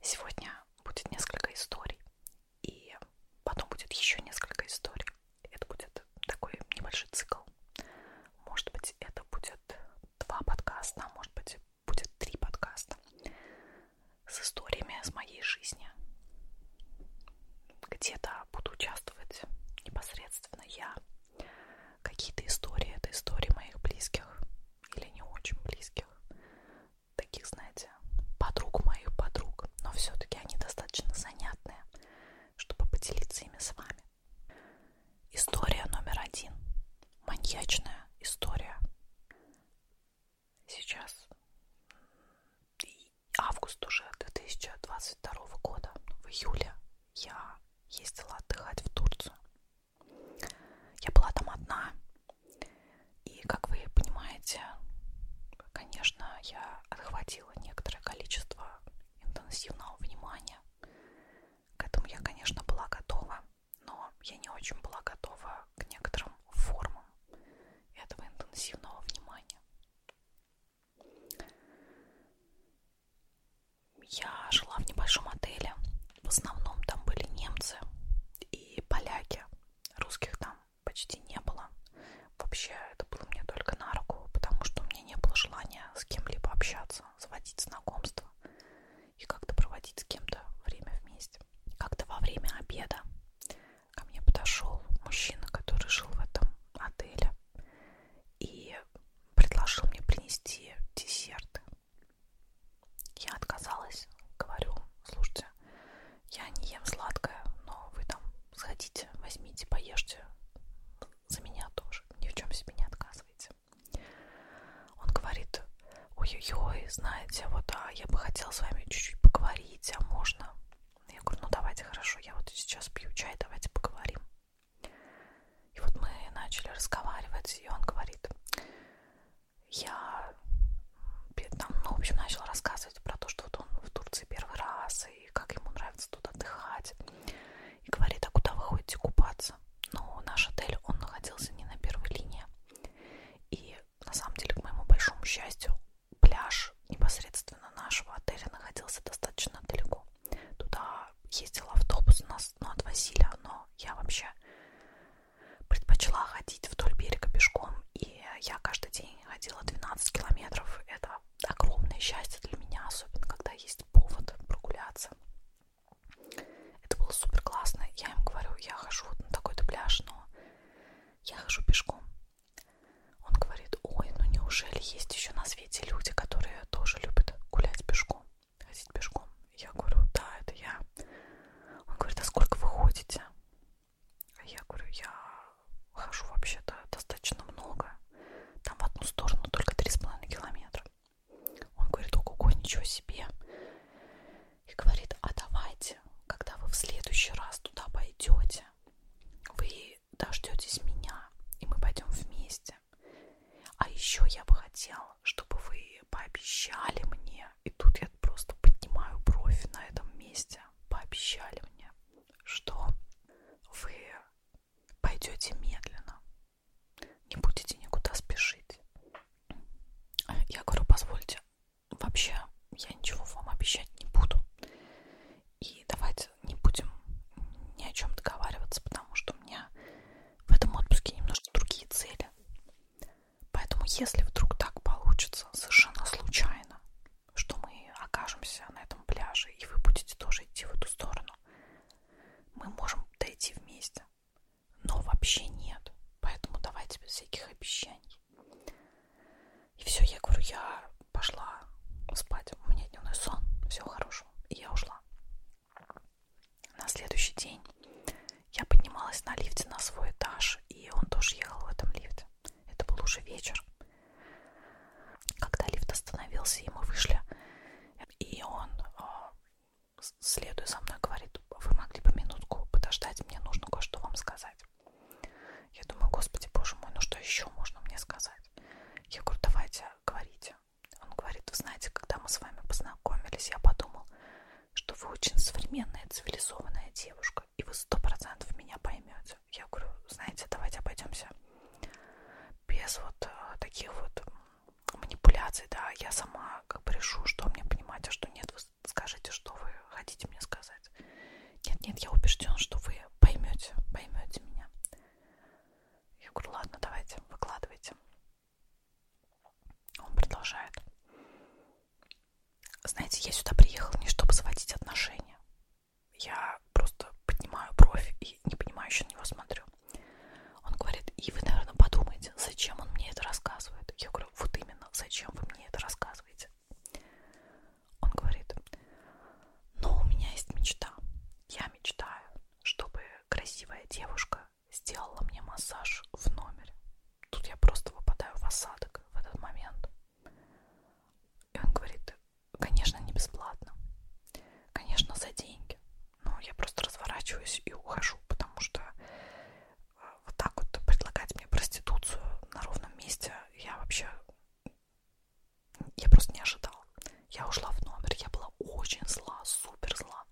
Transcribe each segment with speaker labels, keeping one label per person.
Speaker 1: Сегодня будет несколько историй, и потом будет еще несколько историй. Это будет такой небольшой цикл. Может быть, это будет два подкаста, а может быть, будет три подкаста с историями с моей жизни. Где-то буду участвовать непосредственно я. Какие-то истории, это истории моих близких или не очень близких таких, знаете, подруг моих подруг, но все-таки они достаточно занятные, чтобы поделиться ими с вами. История номер один. Маньячная история. Сейчас август уже 2022 года, в июле я ездила отдыхать в Турцию. Я была там одна. И, как вы понимаете, конечно, я отхватила некоторое количество интенсивного внимания. К этому я, конечно, была готова, но я не очень была готова к некоторым формам этого интенсивного внимания. Я жила в небольшом отеле, в основном там были немцы и поляки. Русских там почти не было. Вообще это было мне только на руку, потому что у меня не было желания с кем-либо общаться, заводить знакомства и как-то проводить с кем-то время вместе. Как-то во время обеда ко мне подошел мужчина, который жил в этом отеле и предложил мне принести десерты. Я отказалась, говорю, слушайте, я не ем сладкое, но вы там сходите, возьмите, поешьте за меня тоже, ни в чем себе не отказывайте. Он говорит, ой-ой-ой, знаете, вот а я бы хотела с вами чуть-чуть поговорить, а можно? Я говорю, ну давайте, хорошо, я вот сейчас пью чай, давайте поговорим. И вот мы начали разговаривать, и он говорит, я там, ну, в общем, начал рассказывать про то, что вот он в Турции первый раз, и как ему нравится тут отдыхать. И говорит, а куда вы ходите купаться? Но наш отель, он находился не на первой линии. И на самом деле, к моему большому счастью, пляж непосредственно нашего отеля находился достаточно далеко. Туда ездил автобус, нас ну, отвозили, но я вообще предпочла ходить вдоль берега пешком, и я каждый день ходила 12 километров. Это огромное счастье для меня, особенно когда есть повод прогуляться. Это было супер классно. Я им говорю, я хожу вот на такой-то пляж, но я хожу пешком. Он говорит, ой, ну неужели есть еще на свете люди, которые тоже любят гулять пешком? ходить пешком. Я говорю, да, это я. Он говорит, а сколько вы ходите? А я говорю, я хожу вообще-то достаточно много. Там в одну сторону только 3,5 километра. Он говорит, ого-го, ничего себе. И говорит, а давайте, когда вы в следующий раз туда пойдете, вы дождетесь меня, и мы пойдем вместе. А еще я бы хотела, чтобы вы пообещали мне, и тут я просто поднимаю бровь на этом месте, пообещали мне, что вы пойдете медленно, не будете никуда спешить. Я говорю, позвольте, вообще я ничего вам обещать не буду. И давайте не будем ни о чем договариваться, потому что у меня в этом отпуске немножко другие цели. Поэтому, если вдруг так получится, совершенно случайно, что мы окажемся на этом пляже, и вы будете тоже идти в эту сторону, мы можем дойти вместе. Но вообще нет. Поэтому давайте без всяких обещаний. И все, я говорю, я пошла спать. У меня дневной сон. Всего хорошего. И я ушла. На следующий день я поднималась на лифте на свой этаж, и он тоже ехал в этом лифте. Это был уже вечер. Когда лифт остановился, и мы вышли, и он, а, следуя за мной, говорит, вы могли бы минутку подождать, мне нужно кое-что вам сказать. Я думаю, господи, боже мой, ну что еще можно мне сказать? Я говорю, давайте, говорите. Он говорит, вы знаете, когда мы с вами познакомились, я подумал, что вы очень современная, цивилизованная девушка, и вы сто процентов меня поймете. Я говорю, знаете, давайте обойдемся без вот э, таких вот манипуляций, да, я сама как бы решу, что мне понимать, а что нет, вы скажите, что вы хотите мне сказать. Нет-нет, я убежден, что вы поймете, поймете меня. Я говорю, ладно, давайте, выкладывайте. Он продолжает. Знаете, я сюда приехал не чтобы заводить отношения. Я просто поднимаю бровь и не понимающе на него смотрю. Он говорит, и вы, наверное, подумаете, зачем он мне это рассказывает. Я говорю, вот именно, зачем вы мне это рассказываете. Он говорит, но у меня есть мечта. Я мечтаю, чтобы красивая девушка сделала мне массаж в номере. Тут я просто выпадаю в осадок в этот момент. И он говорит, конечно, не бесплатно. Конечно, за деньги. Но я просто разворачиваюсь и ухожу, потому что э, вот так вот предлагать мне проституцию на ровном месте я вообще... Я просто не ожидала. Я ушла в номер, я была очень зла, супер зла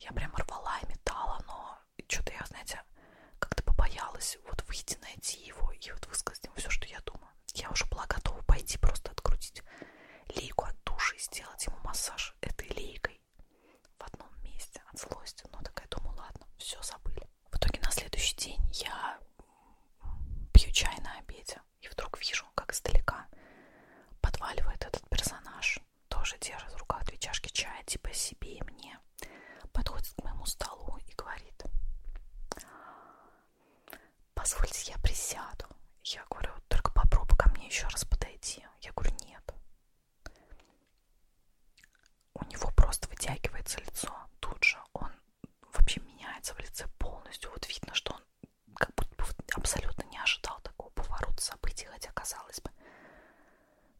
Speaker 1: я прям рвала и метала, но что-то я, знаете, как-то побоялась вот выйти, найти его и вот высказать ему все, что я думаю. Я уже была готова пойти просто открутить лейку от души и сделать ему массаж этой лейкой в одном месте от злости. Но такая думаю, ладно, все забыли. В итоге на следующий день я пью чай на обеде и вдруг вижу, как издалека подваливает этот персонаж тоже держит в руках две чашки чая, типа себе и мне, подходит к моему столу и говорит, позвольте, я присяду. Я говорю, только попробуй ко мне еще раз подойти. Я говорю, нет. У него просто вытягивается лицо тут же. Он вообще меняется в лице полностью. Вот видно, что он как будто бы абсолютно не ожидал такого поворота событий, хотя казалось бы,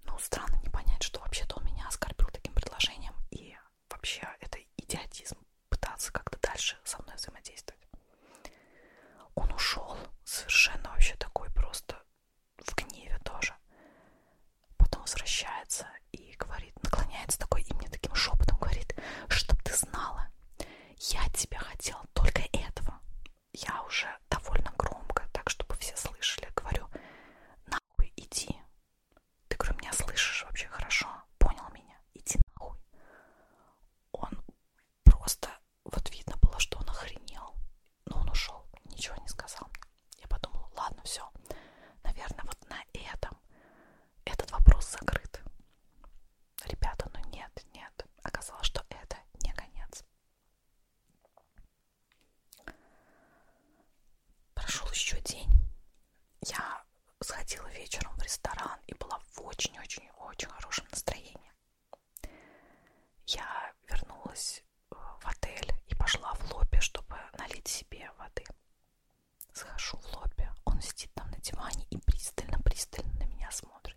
Speaker 1: ну, странно не понять, что вообще-то он меня оскорбил таким предложением, и вообще это идиотизм пытаться как-то дальше со мной взаимодействовать. Он ушел совершенно вообще такой просто в гневе тоже. Потом возвращается и говорит, наклоняется такой и мне таким шепотом говорит, чтоб ты знала, я тебя хотела только этого я уже довольно громко, так чтобы все слышали, говорю, нахуй иди. Ты, говорю, меня слышишь вообще хорошо? Понял меня? Иди нахуй. Он просто, вот видно было, что он охренел. Но он ушел, ничего не сказал. Я подумала, ладно, все. Наверное, вот на этом этот вопрос закрыт. Ребята, ну нет, нет. Оказалось, что это не конец. Прошел еще день. Я сходила вечером в ресторан и была в очень-очень-очень хорошем настроении. Я вернулась э, в отель и пошла в лобби, чтобы налить себе воды. Захожу в лобби, он сидит там на диване и пристально-пристально на меня смотрит.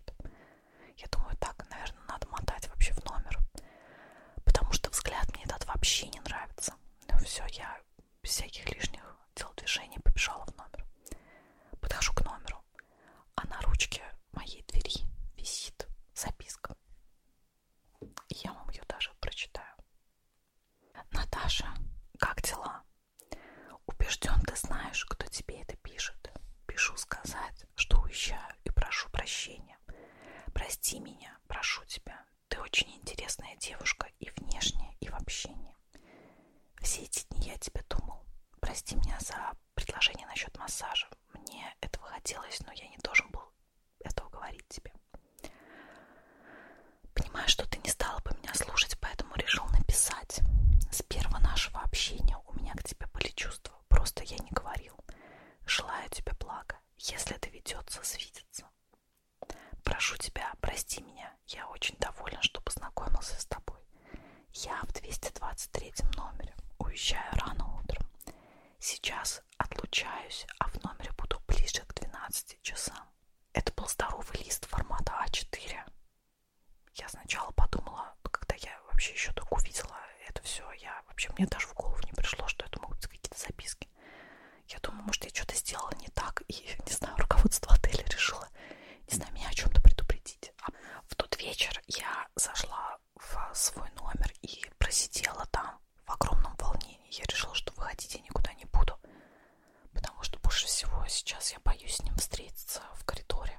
Speaker 1: Я думаю, так, наверное, надо мотать вообще в номер. Потому что взгляд мне этот вообще не нравится. Ну все, я без всяких лишних телодвижений побежала в номер. Подхожу к номеру, а на ручке моей двери висит записка. И я вам ее даже прочитаю. Наташа, как дела? Убежден, ты знаешь, кто тебе это пишет. Пишу сказать, что уезжаю и прошу прощения. Прости меня, прошу тебя. Ты очень интересная девушка и внешне, и в общении. Все эти дни я тебе думал. Прости меня за предложение насчет массажа. Мне этого хотелось, но я не должен был этого говорить тебе. Понимаю, что ты не стала бы меня слушать, поэтому решил написать сказать. С первого нашего общения у меня к тебе были чувства, просто я не говорил. Желаю тебе блага, если доведется свидеться. Прошу тебя, прости меня, я очень доволен, что познакомился с тобой. Я в 223 номере, уезжаю рано утром. Сейчас отлучаюсь, а в номере буду ближе к 12 часам. Это был здоровый лист формата А4 я сначала подумала, когда я вообще еще только увидела это все, я вообще мне даже в голову не пришло, что это могут быть какие-то записки. Я думаю, может, я что-то сделала не так, и, не знаю, руководство отеля решило, не знаю, меня о чем-то предупредить. А в тот вечер я зашла в свой номер и просидела там в огромном волнении. Я решила, что выходить я никуда не буду потому что больше всего сейчас я боюсь с ним встретиться в коридоре,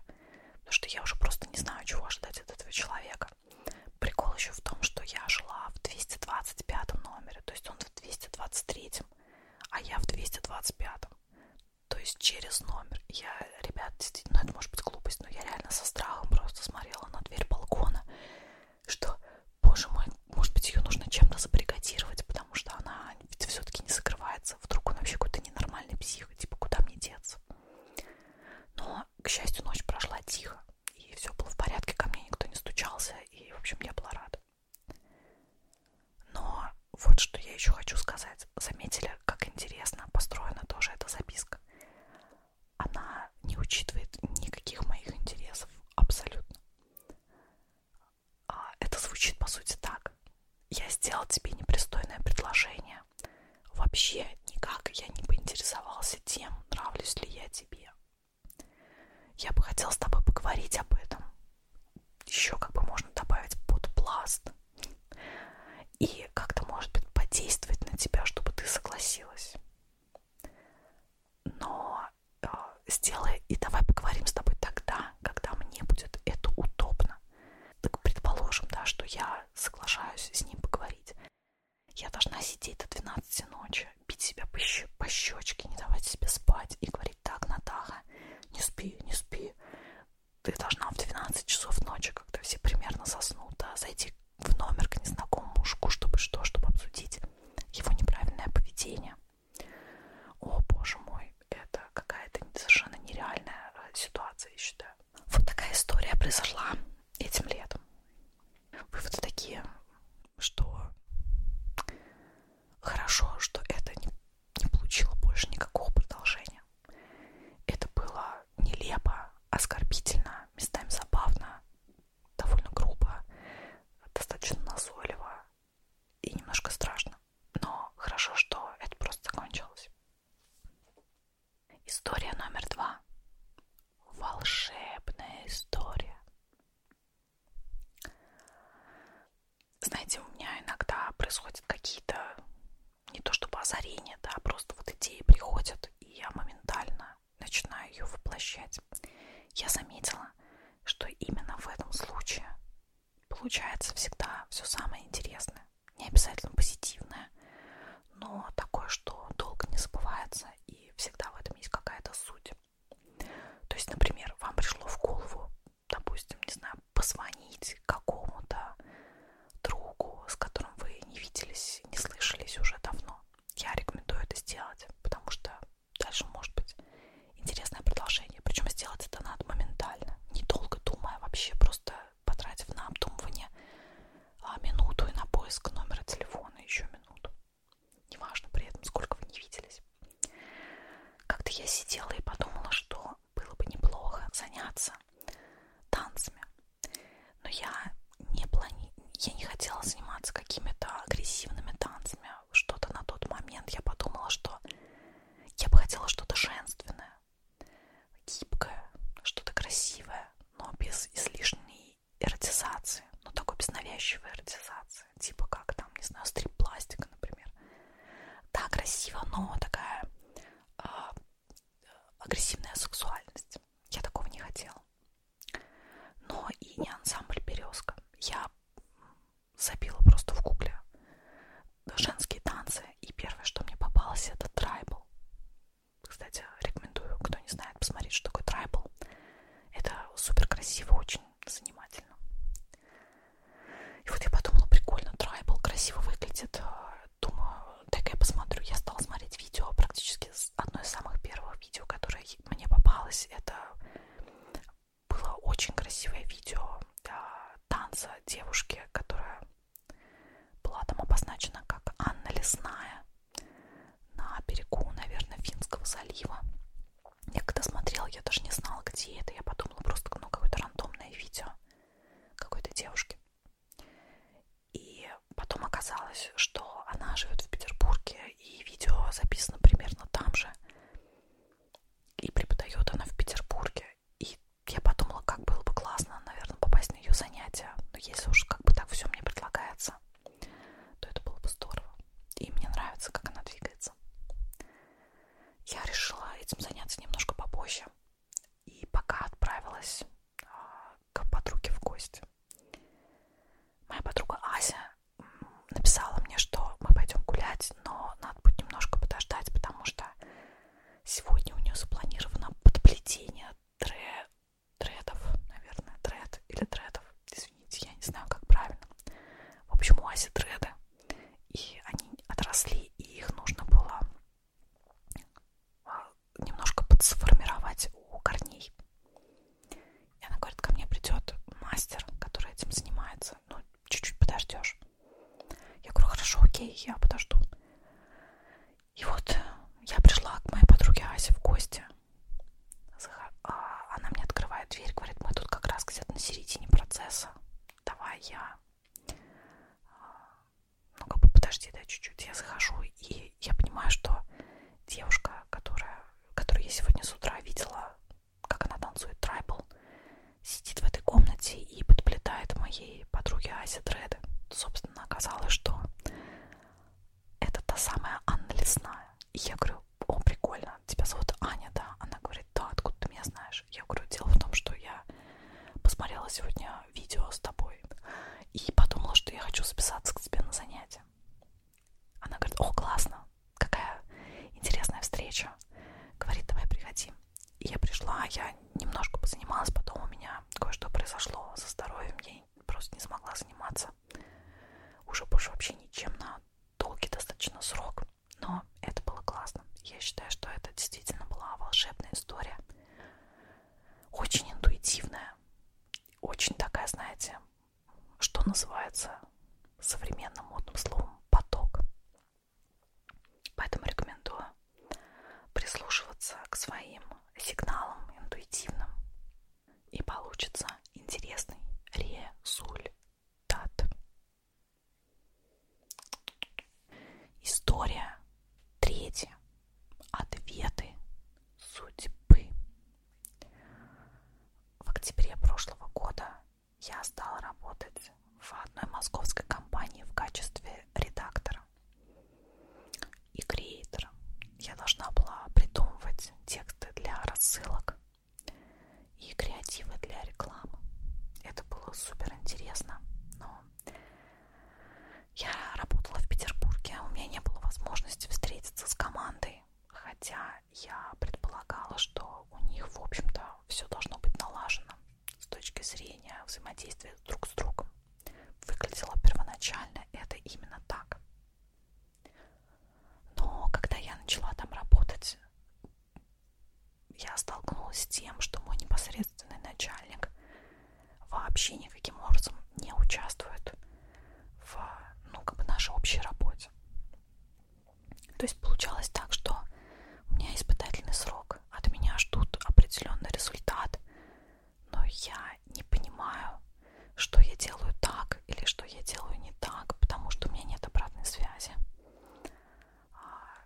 Speaker 1: потому что я уже просто не знаю, чего ожидать от этого человека. Прикол еще в том, что я жила в 225 номере, то есть он в 223, а я в 225. То есть через номер. Я, ребят, действительно, ну это может быть глупость, но я реально со страхом просто смотрела на дверь балкона, что, боже мой, может быть, ее нужно чем-то забаррикадировать, потому что она ведь все-таки не закрывается деться? Вдруг он вообще какой-то ненормальный псих, типа, куда мне деться? Но, к счастью, ночь прошла тихо, и все было в порядке, ко мне никто не стучался, и, в общем, я была рада. Но вот что я еще хочу сказать. Заметили, как интересно построена тоже эта записка? Она не учитывает никаких моих интересов абсолютно. А, это звучит по сути так. Я сделал тебе непристойное предложение. Вообще никак я не поинтересовался тем, нравлюсь ли я тебе. Я бы хотела с тобой поговорить об этом. Еще как бы можно добавить под пласт. И как-то, может быть, подействовать на тебя, чтобы ты согласилась. Но э, сделай и давай поговорим с тобой тогда, когда мне будет это удобно важно. Так предположим, да, что я соглашаюсь с ним поговорить. Я должна сидеть до 12 ночи, бить себя по, щ- по щечке, не давать себе спать и говорить так, Натаха, не спи, не спи. Ты должна в 12 часов ночи, когда все примерно заснут, да, зайти в номер к незнакомому мужику, чтобы что, чтобы обсудить его неправильное поведение, о, боже мой, это какая-то совершенно нереальная э, ситуация, я считаю. Вот такая история произошла этим летом. Выводы такие, что хорошо, что это не, не получило больше никакого продолжения. Это было нелепо, оскорбительно, местами забавно, довольно грубо, достаточно назойливо, и немножко страшно. Но хорошо, что это просто закончилось. История номер два. Волшебная история. Знаете, у меня иногда происходят какие-то не то чтобы озарения, да, просто вот идеи приходят, и я моментально начинаю ее воплощать. Я заметила, что именно в этом случае получается всегда все самое интересное, не обязательно позитивное, но такое, что долго не забывается, и всегда в этом есть какая-то суть. То есть, например, вам пришло в голову, допустим, не знаю, позвонить какому-то другу, с которым вы не виделись, не слышались уже давно. Я рекомендую это сделать, потому что дальше, может быть, интересное продолжение. Причем сделать это надо моментально, недолго думая вообще, просто потратив на обдумывание а, минуту и на поиск номера телефона еще минуту. Неважно при этом, сколько вы не виделись. Как-то я сидела и подумала, что было бы неплохо заняться танцами. Но я не, плани... я не хотела заниматься какими-то агрессивными танцами что-то на тот момент я подумала, что я бы хотела что-то женственное, гибкое, что-то красивое, но без излишней эротизации, но такой без навязчивой эротизации, типа как там, не знаю, стрип-пластика, например. Да, красиво, но такая э, агрессивная сексуальность. Я такого не хотела. Но и не ансамбль «Березка». Я забила просто в гугле женские танцы, и первое, что мне попалось, это трайбл. Кстати, рекомендую, кто не знает, посмотреть, что такое трайбл. Это супер красиво, очень занимательно. И вот я подумала, прикольно, трайбл красиво выглядит. Думаю, так я посмотрю. Я стала смотреть видео, практически одно из самых первых видео, которое мне попалось, это было очень красивое видео танца девушки, которая была там обозначена как Анна Лесная на берегу, наверное, Финского залива. Я когда смотрела, я даже не знала, где это. Я подумала просто, ну, какое-то рандомное видео какой-то девушки. И потом оказалось, что она живет в Петербурге, и видео записано примерно там же и преподает она в Петербурге. И я подумала, как было бы классно, наверное, попасть на ее занятия. Но если уж как бы так все мне предлагается, то это было бы здорово. И мне нравится, как она двигается. Я решила этим заняться немножко попозже. И пока отправилась а, к подруге в гости. Моя подруга Ася написала мне, что мы пойдем гулять, но надо будет немножко подождать, потому что сегодня у нее запланировано подплетение тре... тредов, наверное, тред или тредов, извините, я не знаю, как правильно. В общем, у Аси треды, и они отросли, и их нужно было а, немножко подсформировать у корней. И она говорит, ко мне придет мастер, который этим занимается, нравится, ну, чуть-чуть подождешь. Я говорю, хорошо, окей, я подожду. И вот э, я пришла к моей подруге Асе в гости. А, она мне открывает дверь, говорит, мы тут как раз где-то на середине процесса. Давай я... А, ну, как бы подожди, да, чуть-чуть. Я захожу, и я понимаю, что девушка, которая, которую я сегодня с утра видела как она танцует трайбл, сидит в этой комнате и подплетает моей подруге Асе Дреды. Собственно, оказалось, что это та самая Анна Лесная. И я говорю, о, прикольно, тебя зовут Аня, да? Она говорит, да, откуда ты меня знаешь? Я говорю, дело в том, что я посмотрела сегодня видео с тобой и подумала, что я хочу записаться к тебе на занятия. Она говорит, о, классно, какая интересная встреча. Говорит, давай приходи. И я пришла, я немножко позанималась, потом у меня кое-что произошло со здоровьем, я просто не смогла заниматься уже больше вообще ничем на долгий достаточно срок. Но это было классно. Я считаю, что это действительно была волшебная история. Очень интуитивная. Очень такая, знаете, что называется современным модным словом поток. Поэтому рекомендую прислушиваться к своим сигналам интуитивным. И получится интересный результат. История третья. Ответы судьбы. В октябре прошлого года я стала работать в одной московской компании в качестве редактора и креатора. Я должна была придумывать тексты для рассылок и креативы для рекламы. Это было супер интересно, но я работала в Петербурге, у меня не было возможности встретиться с командой хотя я предполагала, что у них, в общем-то, все должно быть налажено с точки зрения взаимодействия друг с другом. Выглядело первоначально это именно так. Но когда я начала там работать, я столкнулась с тем, что мой непосредственный начальник вообще никаким образом не участвует в ну, как бы нашей общей работе. То есть получалось так, что у меня испытательный срок, от меня ждут определенный результат, но я не понимаю, что я делаю так или что я делаю не так, потому что у меня нет обратной связи. А,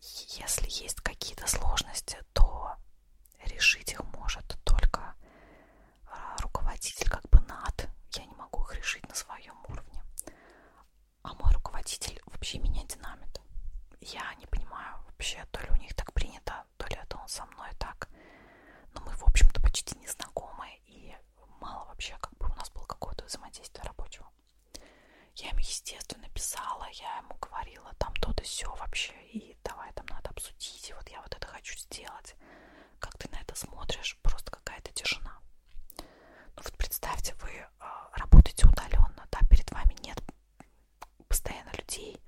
Speaker 1: если есть какие-то сложности, то решить их может только а, руководитель как бы над я не могу их решить на своем уровне. А мой руководитель вообще меня динамит. Я не понимаю вообще, то ли у них так принято, то ли это он со мной так. Но мы, в общем-то, почти не знакомы, и мало вообще как бы у нас было какое-то взаимодействие рабочего. Я ему, естественно, писала, я ему говорила там то-то все вообще, и давай там надо обсудить, и вот я вот это хочу сделать. Как ты на это смотришь, просто какая-то тишина. Ну вот представьте, вы а, работаете удаленно, да, перед вами нет постоянно людей,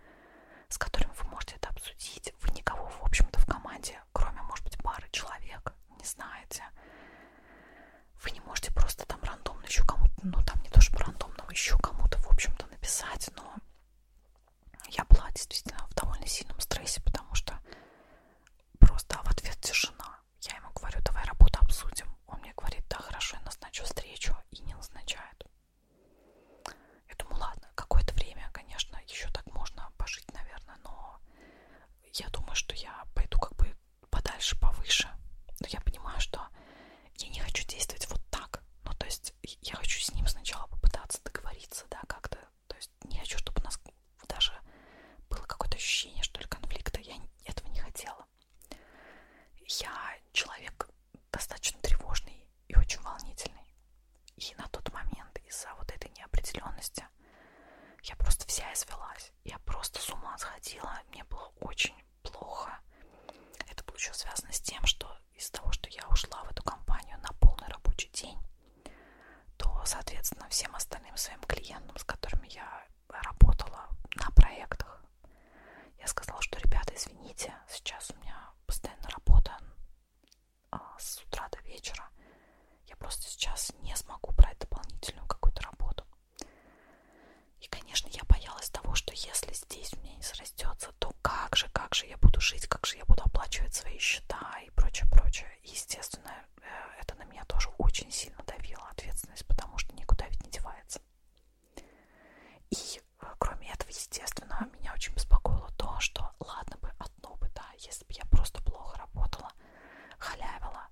Speaker 1: с которыми вы можете это обсудить. Вы никого, в общем-то, в команде, кроме, может быть, пары человек, не знаете. Вы не можете просто там рандомно еще кому-то, ну там не то чтобы рандомно, а еще кому-то, в общем-то, написать, но я была действительно в довольно сильном стрессе, потому что просто а в ответ тишина. Я ему говорю, давай работу обсудим. Он мне говорит, да, хорошо, я назначу встречу и не назначает. Я думаю, ладно, какое-то время, конечно, еще так можно пожить, наверное, но я думаю, что я пойду как бы подальше, повыше. Но я понимаю, что я не хочу действовать вот так. Ну, то есть я хочу с ним сначала попытаться договориться, да, как-то то есть не хочу, чтобы у нас даже было какое-то ощущение, что ли, конфликта. Я этого не хотела. Я человек достаточно тревожный и очень волнительный. И на тот момент из-за вот этой неопределенности я просто вся извелась. Я просто с ума сходила. Мне было очень плохо. Это было еще связано с тем, что из-за того, что я ушла в эту компанию на полный рабочий день, то, соответственно, всем остальным своим клиентам, с которыми я работала на проектах, я сказала, что, ребята, извините, сейчас у меня постоянно работа а, с утра до вечера. Я просто сейчас не смогу брать дополнительную какую-то работу. И, конечно, я боялась того, что если здесь у меня не срастется, то как же, как же я буду жить, как же я буду оплачивать свои счета и прочее, прочее естественно, э, это на меня тоже очень сильно давило ответственность, потому что никуда ведь не девается. И э, кроме этого, естественно, меня очень беспокоило то, что ладно бы одно бы, да, если бы я просто плохо работала, халявила,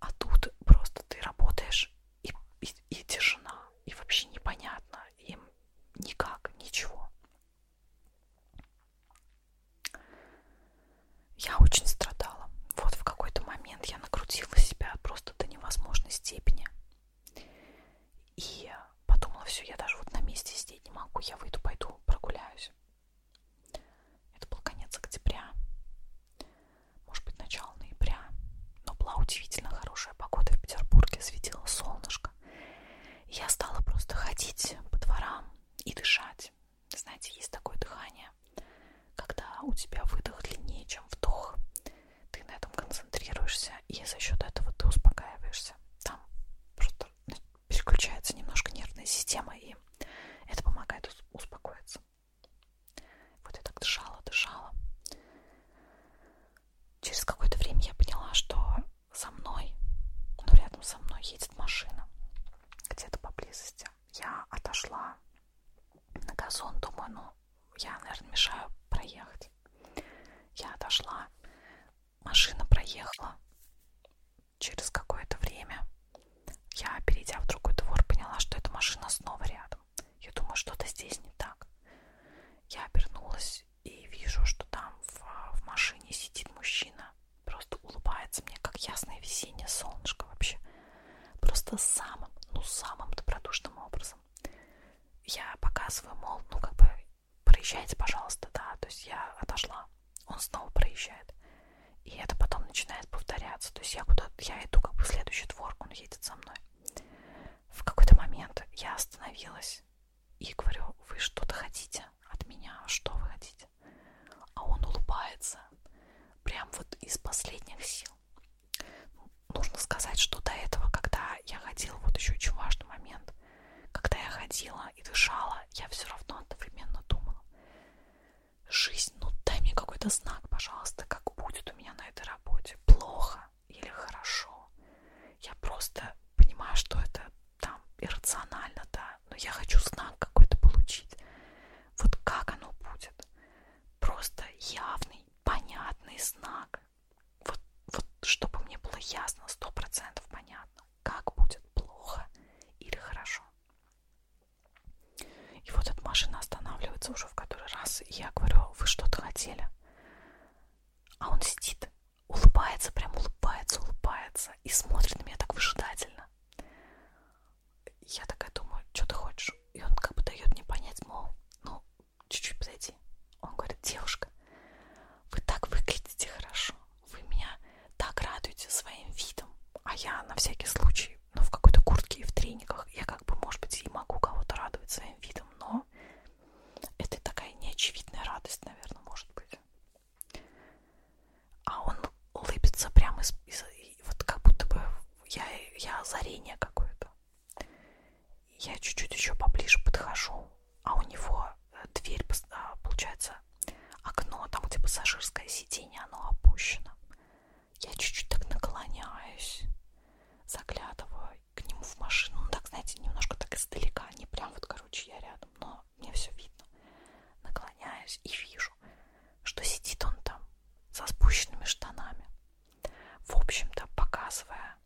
Speaker 1: а тут просто ты работаешь и, и, и тишина, и вообще непонятно, им никак, ничего. Я очень страдала. Вот в какой-то момент я накрутила себя просто до невозможной степени. И подумала, все, я даже вот на месте сидеть не могу, я выйду, пойду, прогуляюсь. Это был конец октября, может быть, начало ноября. Но была удивительно хорошая погода в Петербурге, светило солнышко. И я стала просто ходить по дворам, и дышать. Знаете, есть такое дыхание, когда у тебя выдох длиннее, чем вдох. Ты на этом концентрируешься, и за счет этого ты успокаиваешься. Там просто ну, переключается немножко нервная система, и это помогает успокоиться. Вот я так дышала, дышала. Через какое-то время я поняла, что со мной, ну рядом со мной едет машина, где-то поблизости. Я отошла на газон, думаю, ну, я, наверное, мешаю проехать. Я отошла, машина проехала. Через какое-то время я, перейдя в другой двор, поняла, что эта машина снова рядом. Я думаю, что-то здесь не так. Я обернулась и вижу, что там в, в машине сидит мужчина просто улыбается мне, как ясное весеннее солнышко вообще. Просто самым, ну самым добродушным образом. Я показываю, мол, ну как бы проезжайте, пожалуйста, да, то есть я отошла. Он снова проезжает. И это потом начинает повторяться. То есть я куда я иду как бы в следующий двор, он едет за мной. В какой-то момент я остановилась и говорю, вы что-то хотите от меня, что вы хотите? А он улыбается, прям вот из последних сил. Ну, нужно сказать, что до этого, когда я ходила, вот еще очень важный момент, когда я ходила и дышала, я все равно одновременно думала, жизнь, ну дай мне какой-то знак, пожалуйста, как будет у меня на этой работе, плохо или хорошо, я просто понимаю, что это там иррационально, да, но я хочу знак какой-то получить. Вот как оно будет? Просто явный, понятный знак. Вот, вот чтобы мне было ясно, сто процентов понятно, как будет плохо или хорошо. И вот эта машина останавливается уже в который раз, и я говорю, «А вы что-то хотели? А он сидит, улыбается, прям улыбается, улыбается и смотрит на меня так выжидательно. Я такая думаю, что ты хочешь? И он как бы дает мне понять, мол, ну, чуть-чуть подойди. Он говорит, девушка, вы так выглядите хорошо, вы меня так радуете своим видом, а я на всякий случай, ну, в какой-то куртке и в трениках, я как бы, может быть, и могу кого-то радовать своим видом, но это такая неочевидная радость, наверное, может быть. А он улыбится прямо из, из вот как будто бы я, я озарение какое-то. Я чуть-чуть еще поближе подхожу, а у него э, дверь, а, получается, окно, там, где пассажирское сиденье, оно опущено. Я чуть-чуть так наклоняюсь, заглядываю к нему в машину. Ну, так, знаете, немножко так издалека, не прям вот, короче, я рядом, но но мне все видно. Наклоняюсь и вижу, что сидит он там со спущенными штанами. В общем-то, показывая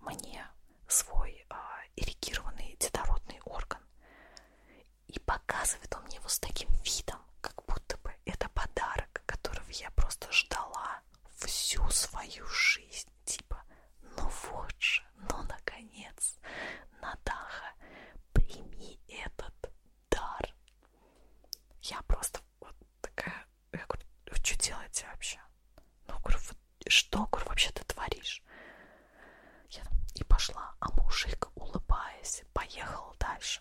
Speaker 1: мне свой э, эрегированный детородный орган. И показывает он мне его с таким видом, как будто бы это подарок, которого я просто ждала всю свою жизнь есть типа «Ну вот же, ну наконец, Натаха, прими этот дар». Я просто вот такая, я говорю, вы что делаете вообще? Ну, говорю, что, говорю, вообще ты творишь? Я и пошла, а мужик, улыбаясь, поехал дальше.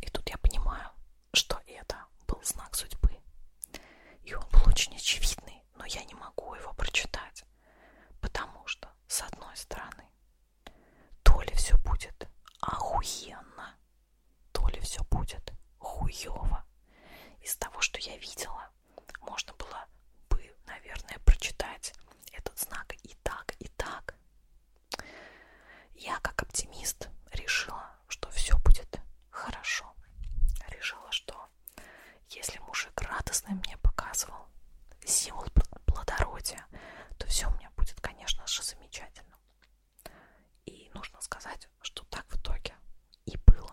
Speaker 1: И тут я понимаю, что это был знак судьбы. И он был очень очевидный стороны, но я не могу его прочитать, потому что, с одной стороны, то ли все будет охуенно, то ли все будет хуево. Из того, что я видела, можно было бы, наверное, прочитать этот знак и так, и так. Я, как оптимист, решила, что все будет хорошо. Решила, что если мужик радостно мне показывал символ плодородия, то все у меня будет, конечно же, замечательно. И нужно сказать, что так в итоге и было.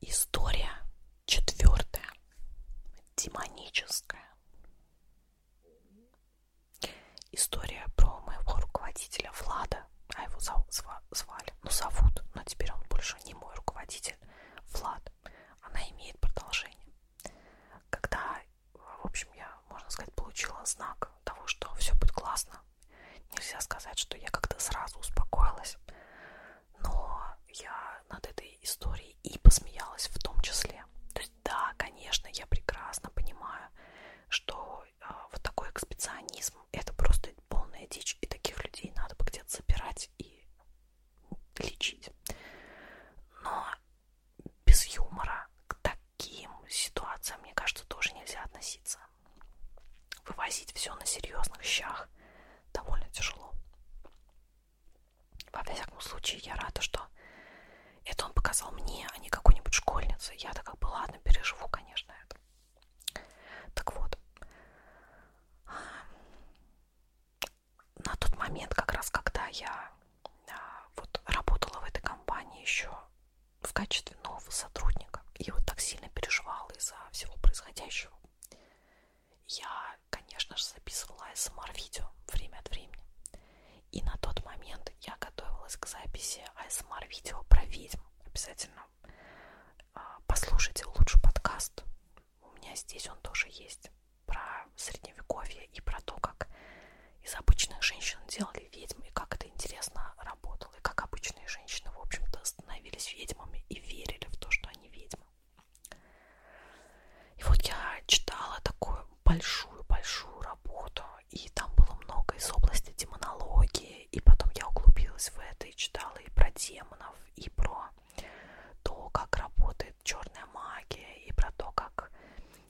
Speaker 1: История четвертая. Демоническая. История про моего руководителя Влада, а его звали, ну зовут, но теперь он больше не мой руководитель, книги Влад, она имеет продолжение. Когда, в общем, я, можно сказать, получила знак того, что все будет классно, нельзя сказать, что я как-то сразу успокоилась, но я над этой историей и посмеялась в том числе. То есть, да, конечно, я прекрасно понимаю, что э, вот такой экспедиционизм это просто это полная дичь, и таких людей надо бы где-то забирать и лечить. Но без юмора к таким ситуациям, мне кажется, тоже нельзя относиться. Вывозить все на серьезных щах довольно тяжело. Во всяком случае, я рада, что это он показал мне, а не какой-нибудь школьнице. Я так как бы ладно, переживу, конечно, это. Так вот, на тот момент, как раз когда я а, вот работала в этой компании еще в качестве нового сотрудника, и вот так сильно переживала из-за всего происходящего, я, конечно же, записывала АСМР-видео время от времени. И на тот момент я готовилась к записи АСМР-видео про ведьм. Обязательно а, послушайте лучше подкаст. У меня здесь он тоже есть про средневековье и про то, как из обычных женщин делали ведьм, и как это интересно работало, и как обычные женщины, в общем-то, становились ведьмами и верили в то, что они ведьмы. И вот я читала такую большую-большую работу, и там было много из области демонологии, и потом я углубилась в это и читала и про демонов, и про то, как работает черная магия, и про то, как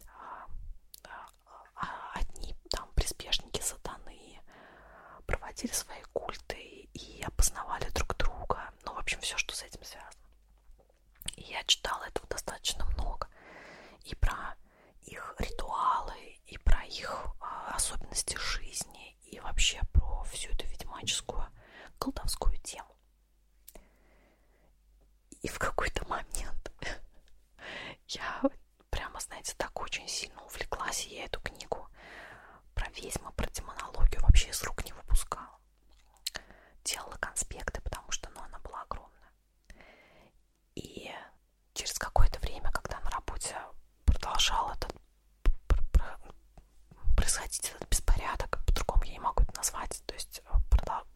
Speaker 1: а, а, а, одни там приспешники сатаны проводили свои культы и опознавали друг друга. Ну, в общем, все, что с этим связано. И я читала этого достаточно много. И про их ритуалы, и про их а, особенности жизни, Ведьмине и вообще про всю эту ведьмаческую колдовскую тему. И в какой-то момент я прямо, знаете, так очень сильно увлеклась, и я эту книгу про ведьмы, про демонологию вообще из рук не выпускала. Делала конспекты, потому что ну, она была огромная. И через какое-то время, когда на работе продолжал этот происходить этот беспорядок, по-другому я не могу это назвать, то есть э,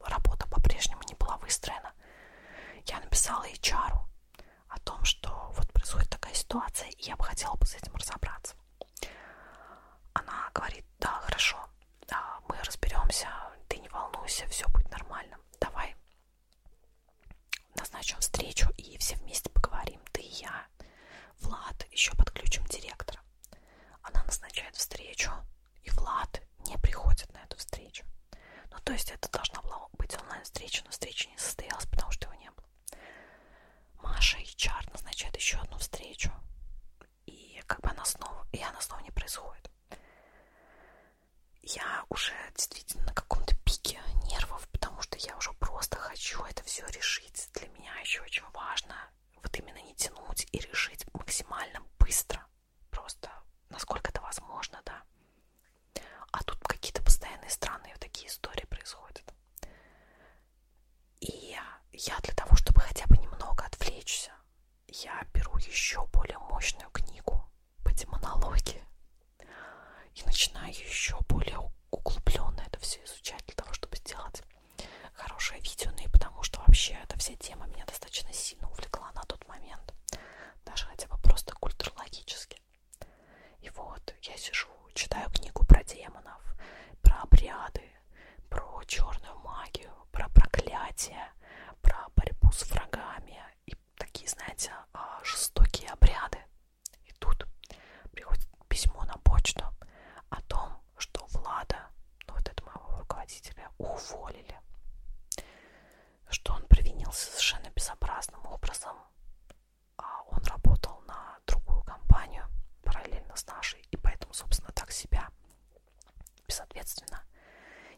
Speaker 1: работа по-прежнему не была выстроена. Я написала HR о том, что вот происходит такая ситуация, и я бы хотела бы с этим разобраться. Она говорит, да, хорошо, а, мы разберемся, ты не волнуйся, все будет нормально, давай назначим встречу и все вместе поговорим, ты и я, Влад, еще подключим директора. Она назначает встречу, и Влад не приходит на эту встречу. Ну, то есть это должна была быть онлайн-встреча, но встреча не состоялась, потому что его не было. Маша и Чар назначает еще одну встречу, и как бы она снова, и она снова не происходит. Я уже действительно действительно на каком-то пике нервов, потому что я уже просто хочу это все решить. Для меня еще очень важно вот именно не тянуть и решить максимально быстро, просто насколько это возможно, да. А тут какие-то постоянные странные вот такие истории происходят. И я для того, чтобы хотя бы немного отвлечься, я беру еще более мощную книгу по демонологии. И начинаю еще более углубленно это все изучать для того, чтобы сделать хорошее видео, ну и потому что вообще эта вся тема меня достаточно сильно увлекла на тот момент, даже хотя бы просто культурологически. И вот я сижу, читаю книгу про демонов, про обряды, про черную магию, про проклятие, про борьбу с врагами и такие, знаете, а, жестокие обряды, и тут приходит письмо на почту о том, что Влада, ну вот этого моего руководителя, уволили. Что он провинился совершенно безобразным образом. А он работал на другую компанию параллельно с нашей, и поэтому, собственно, так себя безответственно,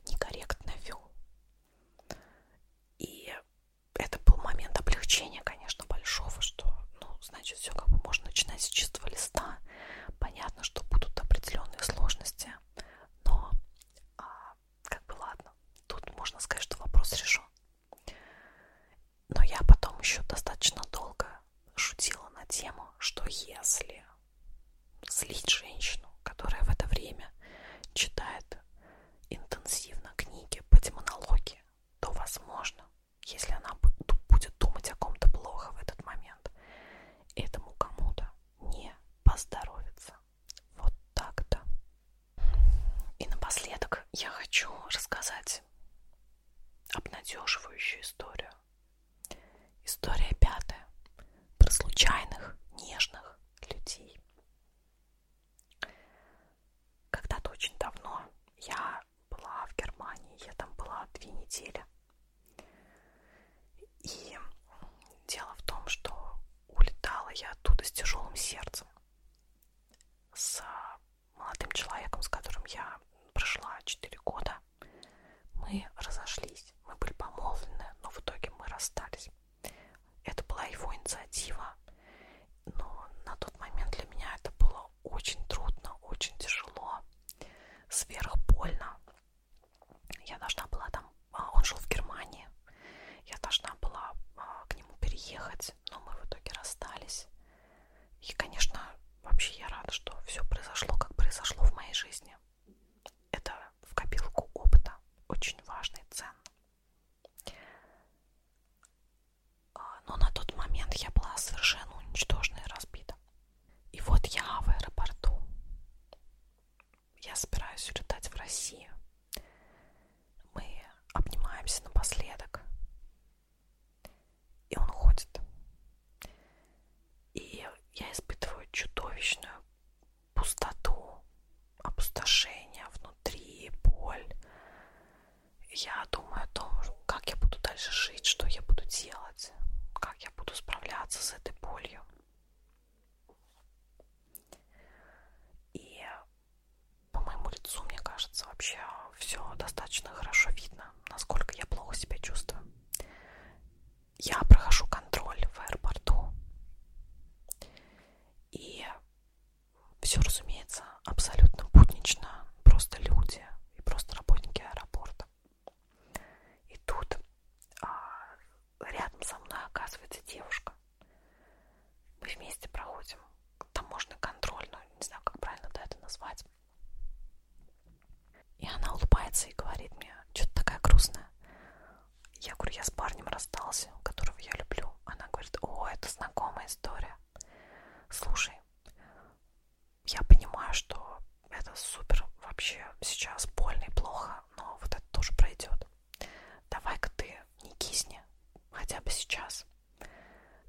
Speaker 1: некорректно вел. И это был момент облегчения, конечно, большого, что, ну, значит, все как бы можно начинать с чистого листа. Понятно, что будут определенные сложности, но а, как бы ладно, тут можно сказать, что вопрос решен. Но я потом еще достаточно долго шутила на тему, что если злить женщину, которая в это время читает интенсивно книги по демонологии, то, возможно, если она будет думать о ком-то плохо в этот момент, этому кому-то не поздоровится. Вот так-то. И напоследок я хочу рассказать обнадеживающую историю. История пятая. Про случайных, нежных людей. Когда-то очень давно я была в Германии, я там была две недели. И дело в том, что улетала я оттуда с тяжелым сердцем, с молодым человеком, с которым я прошла 4 года. Мы разошлись, мы были помолвлены, но в итоге мы расстались. Это была его инициатива, но на тот момент для меня это было очень трудно, очень тяжело, сверхбольно. Я должна была там, а, он жил в Германии, я должна была а, к нему переехать, но мы в итоге расстались. И, конечно, вообще я рада, что все произошло, как произошло в моей жизни. Это в копилку опыта очень важно и ценно. А, но на тот момент я была совершенно уничтожена и разбита. И вот я в аэропорту. Я собираюсь улетать в Россию. Мы обнимаемся напоследок. И он ходит. И я испытываю чудовищную пустоту, опустошение внутри, боль. Я думаю о том, как я буду дальше жить, что я буду делать, как я буду справляться с этой болью. И по моему лицу, мне кажется, вообще все достаточно хорошо видно, насколько я плохо себя чувствую. Я прохожу контроль в аэропорту. И все, разумеется, абсолютно буднично, просто люди и просто работники аэропорта. И тут а, рядом со мной оказывается девушка. Мы вместе проходим таможенный контроль, ну не знаю, как правильно да, это назвать. И она улыбается и говорит мне, что-то такая грустная. Я говорю, я с парнем расстался, которого я люблю. Она говорит, о, это знакомая история. Слушай, я понимаю, что это супер вообще сейчас больно и плохо, но вот это тоже пройдет. Давай-ка ты не кисни, хотя бы сейчас.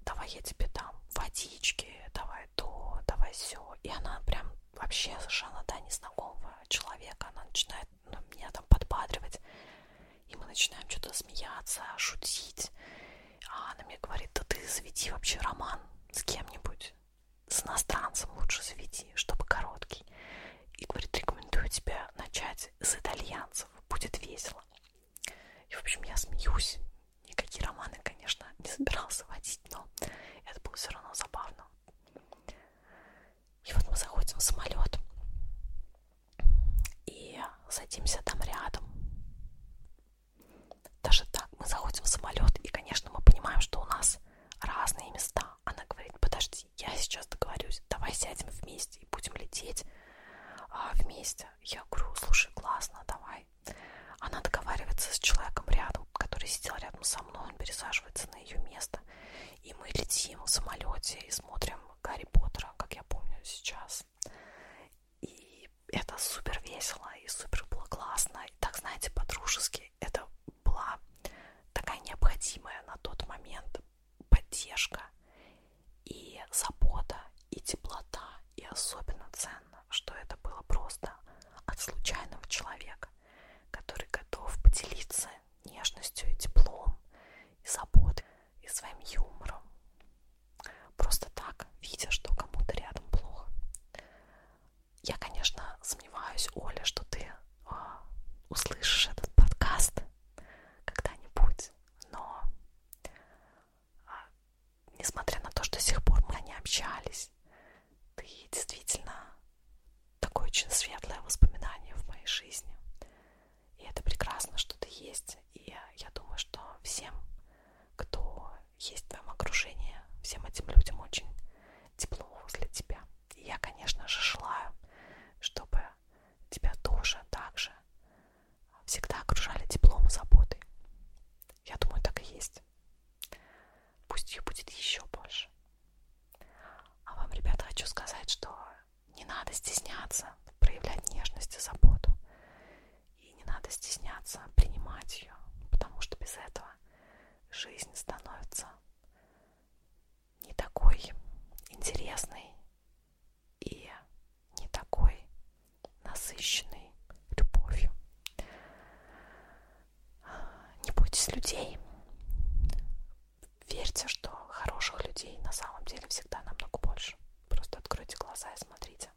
Speaker 1: Давай я тебе дам водички, давай то, давай все. И она прям вообще совершенно, да, незнакомого человека, она начинает меня там подбадривать. И мы начинаем что-то смеяться, шутить. А она мне говорит, да ты заведи вообще роман с кем-нибудь. С иностранцем лучше заведи, чтобы короткий. И говорит, рекомендую тебе начать с итальянцев, будет весело. И, в общем, я смеюсь. Никакие романы, конечно, не собирался водить, но это было все равно забавно. И вот мы заходим в самолет и садимся там рядом. Даже так, мы заходим в самолет, и, конечно, мы понимаем, что у нас разные места. Она говорит, подожди, я сейчас договорюсь, давай сядем вместе и будем лететь а, вместе. Я говорю, слушай, классно, давай. Она договаривается с человеком рядом, который сидел рядом со мной, он пересаживается на ее место. И мы летим в самолете и смотрим Гарри Поттера, как я помню сейчас. И это супер весело и супер было классно. И так, знаете, по-дружески это была такая необходимая на тот момент поддержка и забота, и теплота. И особенно ценно, что это было просто от случайного человека, который готов поделиться нежностью и теплом, и заботой, и своим юмором. Просто так, видя, что кому-то рядом плохо. Я, конечно, сомневаюсь, Оля, что ты а, услышишь этот подкаст когда-нибудь, но а, несмотря на то, что до сих пор мы не общались, ты действительно такое очень светлое воспоминание в моей жизни. И это прекрасно, что ты есть. И я думаю, что всем, кто есть в твоем окружении, всем этим людям очень тепло возле тебя. И я, конечно же, желаю, чтобы тебя тоже так же всегда окружали теплом и заботой. Я думаю, так и есть. Пусть ее будет еще больше. А вам, ребята, хочу сказать, что не надо стесняться проявлять нежность и заботу. И не надо стесняться принимать ее, потому что без этого жизнь становится не такой интересной и не такой насыщенной любовью. Не бойтесь людей верьте, что хороших людей на самом деле всегда намного больше. Просто откройте глаза и смотрите.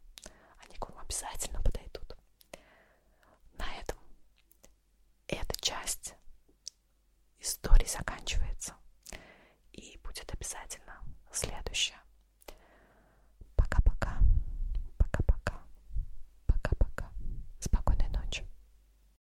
Speaker 1: Они к вам обязательно подойдут. На этом эта часть истории заканчивается. И будет обязательно следующая. Пока-пока. Пока-пока. Пока-пока. Спокойной ночи.